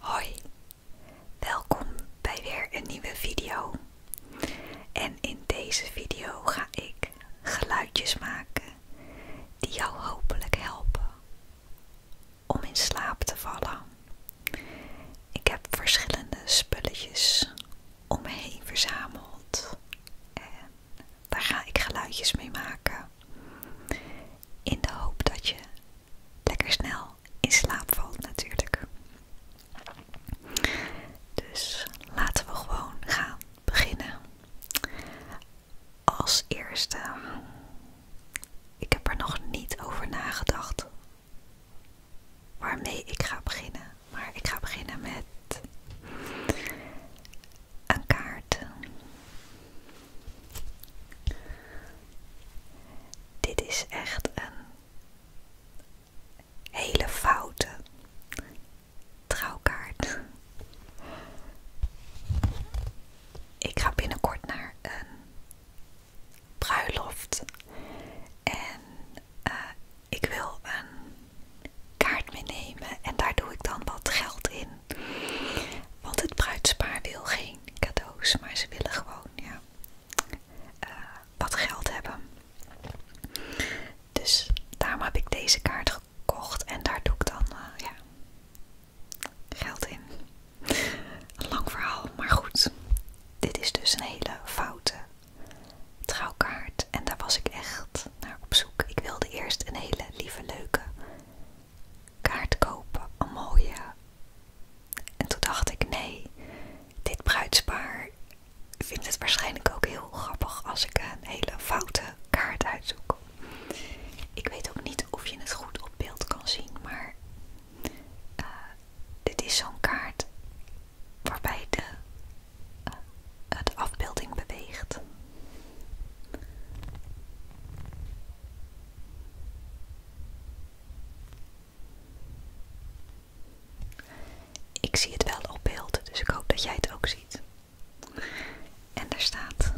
Hoi, welkom bij weer een nieuwe video. En in deze video ga ik geluidjes maken die jou hopelijk helpen om in slaap te vallen. Ik heb verschillende spulletjes om me heen verzameld en daar ga ik geluidjes mee maken. In de hoop dat je lekker snel in slaap valt natuurlijk. Dus laten we gewoon gaan beginnen. Als eerste, ik heb er nog niet over nagedacht waarmee ik ga beginnen. Maar ik ga beginnen met een kaart. Dit is echt een hele foute trouwkaart. Ik ga binnenkort naar een bruiloft en eh, ik wil een kaart meenemen en daar doe ik dan wat geld in. Want het bruidspaar wil geen cadeaus, maar ze willen gewoon eh, wat geld hebben. Dus daarom heb ik deze kaart gekocht en daar doe ik dan eh, geld in. Een lang verhaal, maar goed. Dit is dus een hele foute trouwkaart. En daar was ik echt naar op zoek. Ik wilde eerst een hele lieve, leuke kaart kopen, een mooie. En toen dacht ik, nee, dit bruidspaar vindt het waarschijnlijk ook heel grappig als ik een hele foute kaart uitzoek. Ik weet ook niet of je het goed op beeld kan zien, maar eh, dit is zo'n kaart waarbij de, het eh, de afbeelding beweegt. Ik zie het wel op beeld, dus ik hoop dat jij het ook ziet. En daar staat: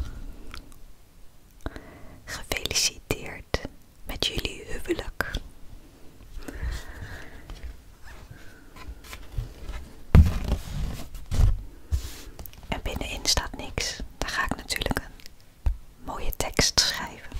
Gefeliciteerd met jullie huwelijk. En binnenin staat niks daar ga ik natuurlijk een mooie tekst schrijven.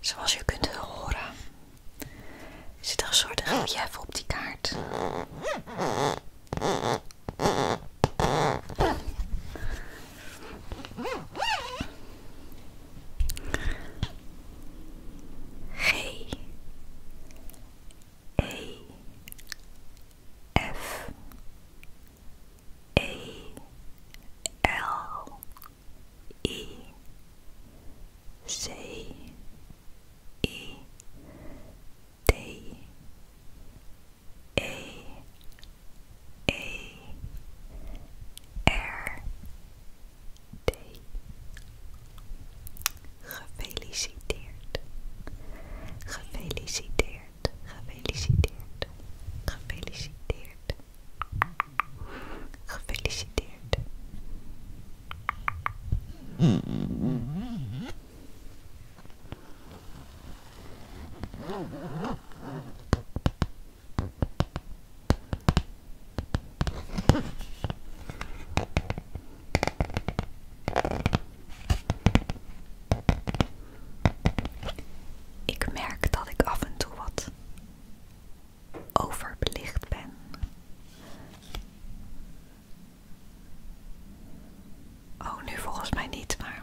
Zoals u kunt horen, zit er een soort relief op die kaart. G A F A L E C E D A A R D Gefeliciteerd. Gefeliciteerd. Gefeliciteerd. Gefeliciteerd. Gefeliciteerd. Ik merk dat ik af en toe wat overbelicht ben. Oh, nu volgens mij niet, maar.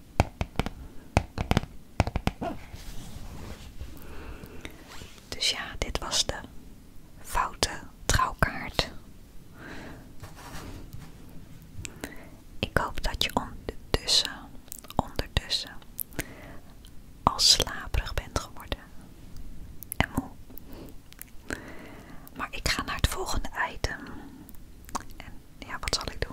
Dus ja, dit was de foute trouwkaart. Ik hoop dat je ondertussen, ondertussen al slaperig bent geworden en moe. Maar ik ga naar het volgende item. En ja, wat zal ik doen?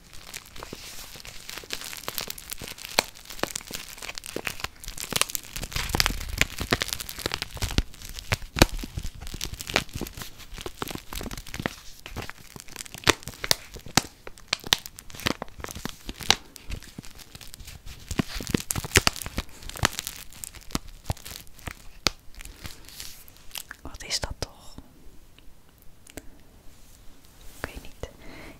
Wat is dat toch? Ik niet.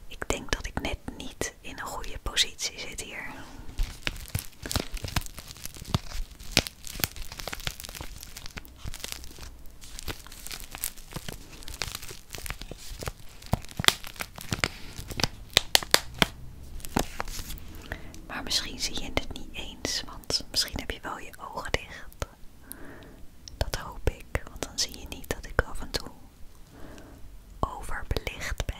Ik denk dat ik net niet in een goede positie zit hier. Maar misschien zie je het niet eens, want misschien heb je wel je ogen dicht. Dat hoop ik, want dan zie je niet dat ik af en toe overbelicht ben.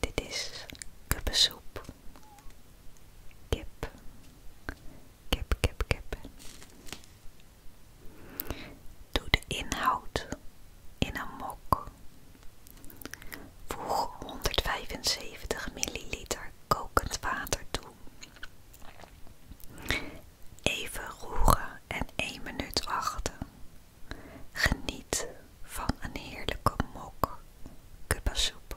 Dit is kuppensoep, kip, kip, kip, kip. Doe de inhoud in een mok. Voeg 175 milliliter kokend water toe. Even roeren en 1 minuut wachten. Geniet van een heerlijke mok Cuba-soep.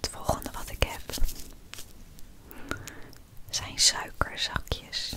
Het volgende wat ik heb zijn suikerzakjes.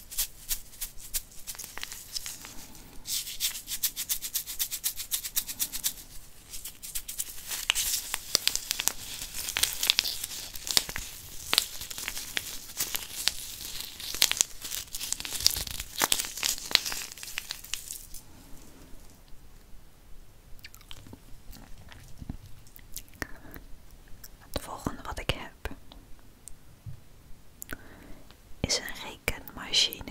Het volgende wat ik heb is een rekenmachine.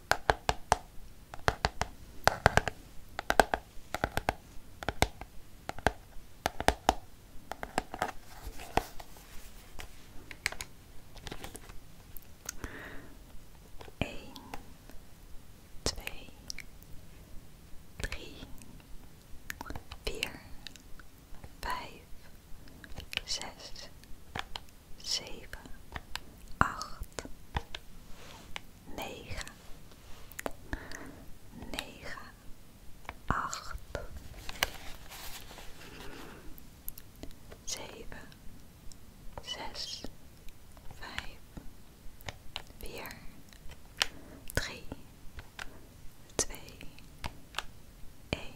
twee, drie, vier, vijf, zes, zeven, acht, negen, negen, acht, zeven, zes, vijf, vier, drie, twee, één.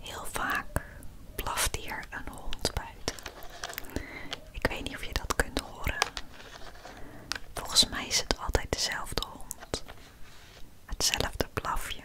Heel vaak blaft hier een hond buiten. Ik weet niet of je dat kunt horen. Volgens mij is het altijd dezelfde hond. Hetzelfde blafje.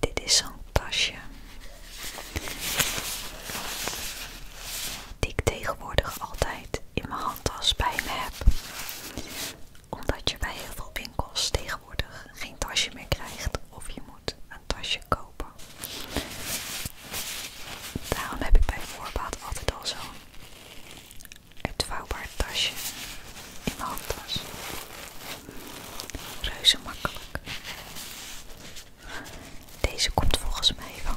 Dit is een tasje tegenwoordig altijd in mijn handtas bij me heb. Omdat je bij heel veel winkels tegenwoordig geen tasje meer krijgt of je moet een tasje kopen. Daarom heb ik bij voorbaat altijd al zo'n uitvouwbaar tasje in mijn handtas. Reuze makkelijk. Deze komt volgens mij van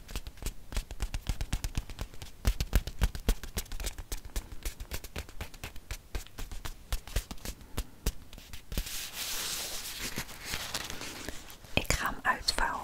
Ik ga hem uitvouwen.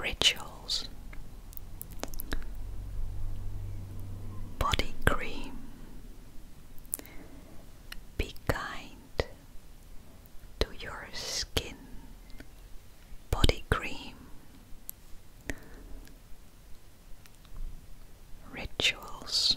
Rituals Body Cream Be Kind to your skin body cream rituals.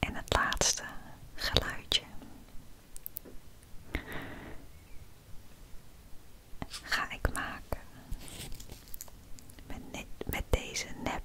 En het laatste geluidje ga ik maken met, deze nepbloem.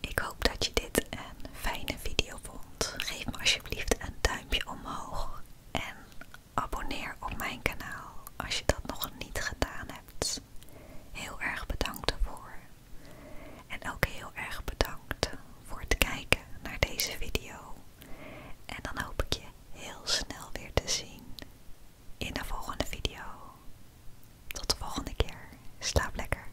Ik hoop dat je dit een fijne video vond geef me alsjeblieft een duimpje omhoog en abonneer op mijn kanaal als je dat nog niet gedaan hebt. Heel erg bedankt daarvoor. En ook heel erg bedankt voor het kijken naar deze video. En dan hoop ik je heel snel weer te zien in de volgende video. Tot de volgende keer. Slaap lekker.